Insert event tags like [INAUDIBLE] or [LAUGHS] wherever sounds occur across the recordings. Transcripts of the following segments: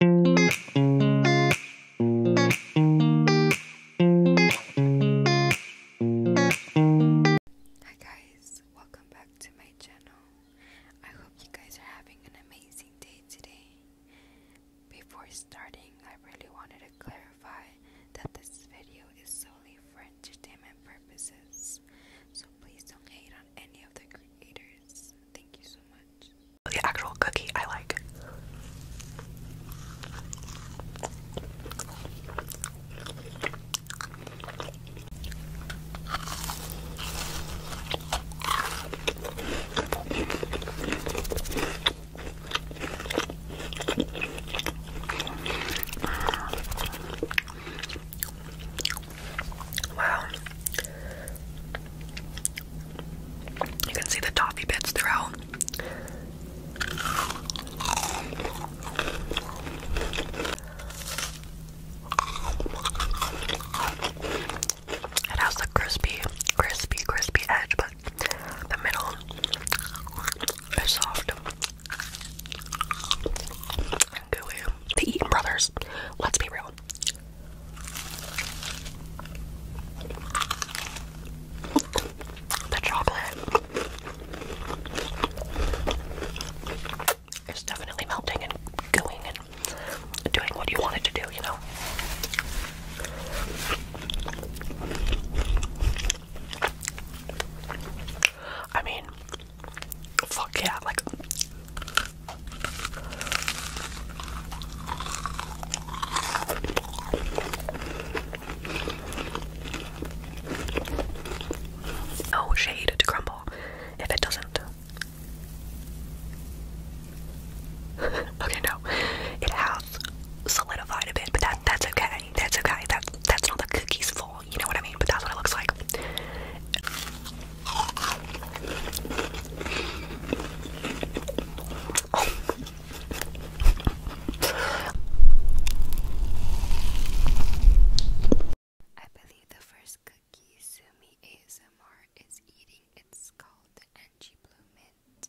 Hi guys, welcome back to my channel. I hope you guys are having an amazing day today. Before starting, I really wanted to clarify that this video is solely for entertainment purposes. So please don't hate on any of the creators. Thank you so much. The actual cookie I like. Wow, you can see the toffee bits throughout. It has the crispy, crispy, crispy edge, but the middle is soft and The Eaton Brothers, let's be real, the chocolate is definitely melting and going and doing what you want it to do, you know. I mean, fuck yeah, like no oh, shade to crumble if it doesn't. [LAUGHS] okay, no, it has solidified a bit, but that that's okay. That's okay. That that's not the cookie's fault. You know what I mean? But that's what it looks like. I believe the first cookie Sumi ASMR is eating. It's called the Angie Blue Mint.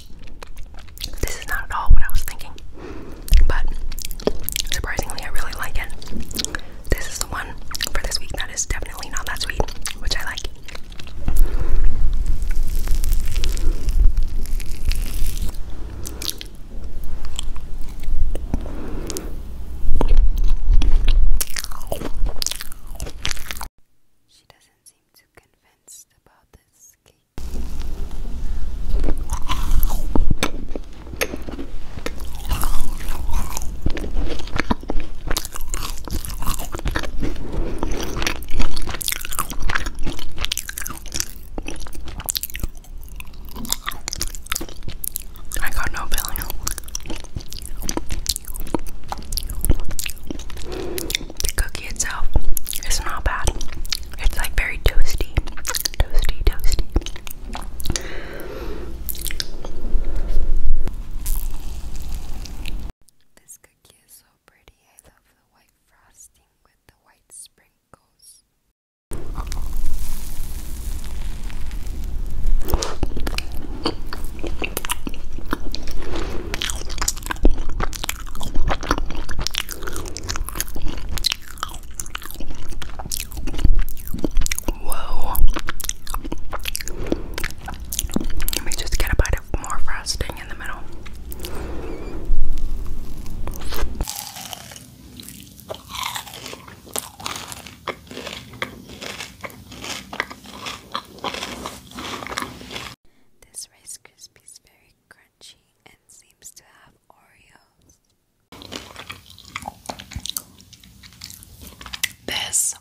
This is not at all what I was thinking, but surprisingly, I really like it. This is the one for this week that is definitely not that sweet, which I like doesn't seem too convinced about this cake. I got no feeling. The cookie itself is not bad. It's like very toasty. Toasty, toasty. This cookie is so pretty. I love the white frosting with the white sprinkles. Whoa. Let me just get a bite of more frosting in the middle. This Rice Krispie is very crunchy and seems to have Oreos. This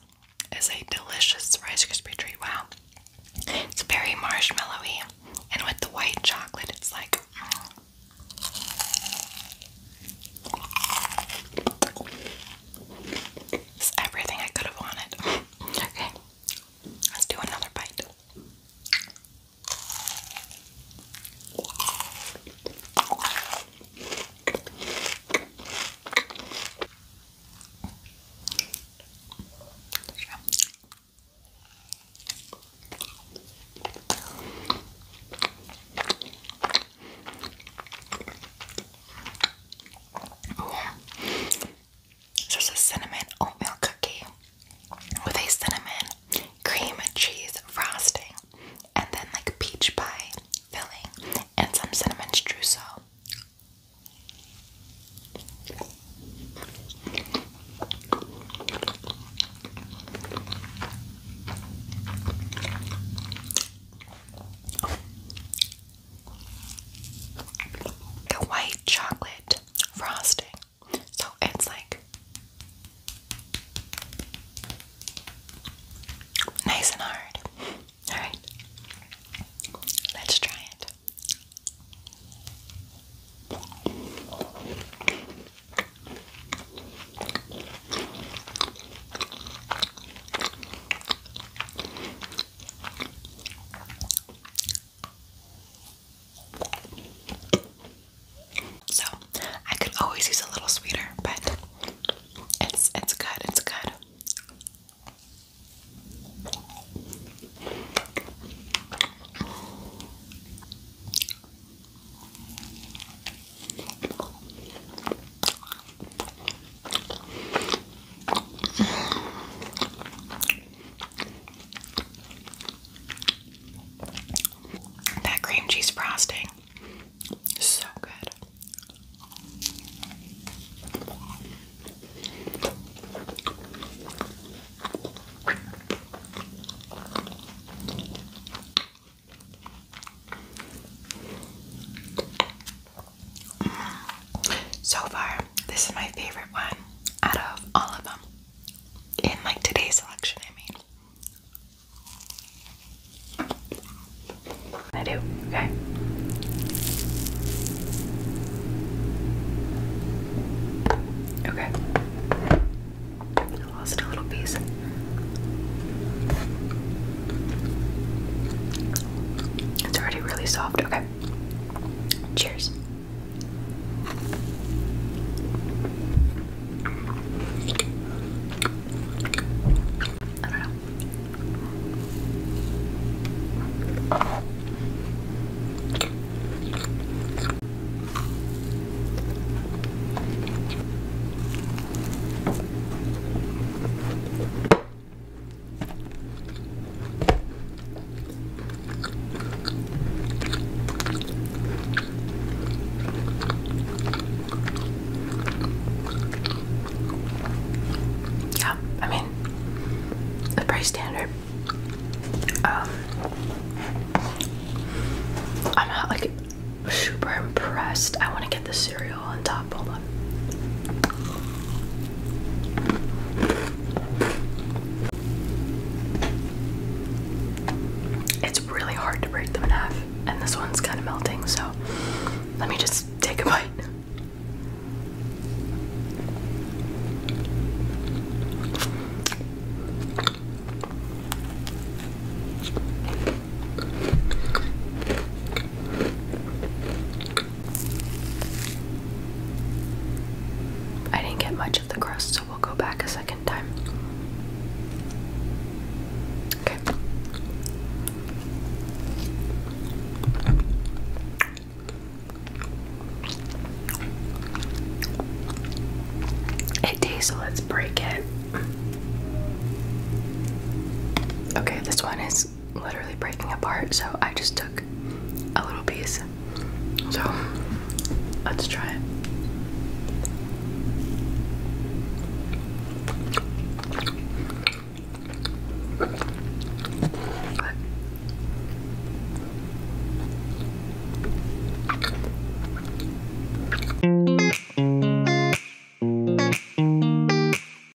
is a delicious Rice Krispie treat. Wow. It's very marshmallowy, and with the white chocolate, it's like. Mm. everything I could have wanted. okay, Let's do another bite. It's just a cinnamon oatmeal cookie with a cinnamon cream cheese frosting and then like peach pie filling and some cinnamon streusel the white chocolate frosting. So it's like nice and hard. Alright, let's try it. So I could always use a little sweeter, but it's it's good, it's good. That cream cheese frosting, so good. So far, this is my favorite one out of all of them. In like today's selection, I mean. I do, okay. Okay. lost a little piece. It's already really soft. Okay. Cheers. I don't know. Yeah, I mean, the price standard. Um, I'm not like super impressed. I want to get this cereal on top. Hold It's really hard to break them in half, and this one's kind of melting, so let me just take a bite. I didn't get much of the crust, so we'll go back a second time. Okay. It tastes, let's break it. Okay, this one is literally breaking apart, so I just took a little piece. So let's try it.